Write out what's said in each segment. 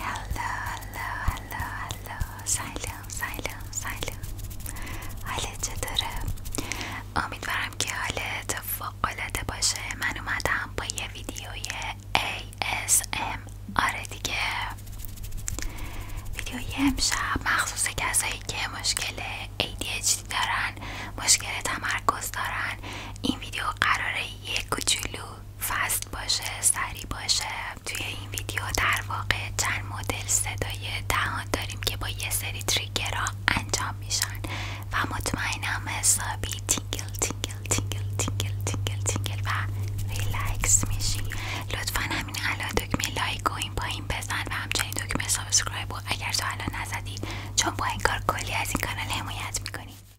Hello, hello, hello, hello. سلام سلام سلام حالت چطوره؟ امیدوارم که حالت فوقالعاده باشه من اومدم با یه ویدیوی ASM آره دیگه ویدیوی امشب مخصوص کسایی که مشکل ADHD دارن مشکل تمرکز دارن این ویدیو قراره یک کوچولو فست باشه سریع باشه توی این ویدیو در واقع چند مدل صدای دهان داریم که با یه سری تریگرها انجام میشن و مطمئنم حسابی تینگل تینگل تینگل تینگل تینگل تینگل و ریلکس میشی لطفا همین الان دکمه لایک و این پایین بزن و همچنین دکمه سابسکرایب و اگر تو الان نزدی چون با این کار کلی از این کانال حمایت میکنی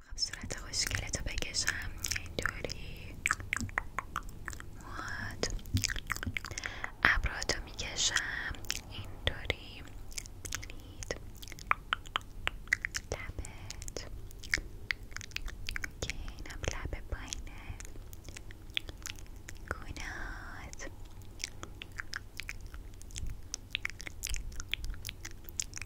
خب صورت خوشگلتو بکشم اینطوری مواد ابراتو میکشم اینطوری بینید لبت اوکی اینم لب پایینه گونات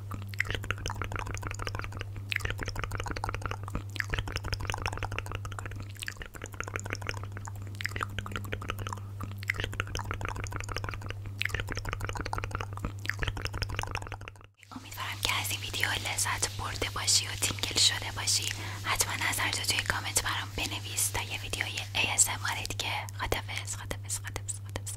امیدوارم که از این ویدیو لذت برده باشی و تینگل شده باشی حتما هر توی کامنت برام بنویس تا یه ویدیوی ASMR دیگه خدافظ خدافظ خدافظ خدافظ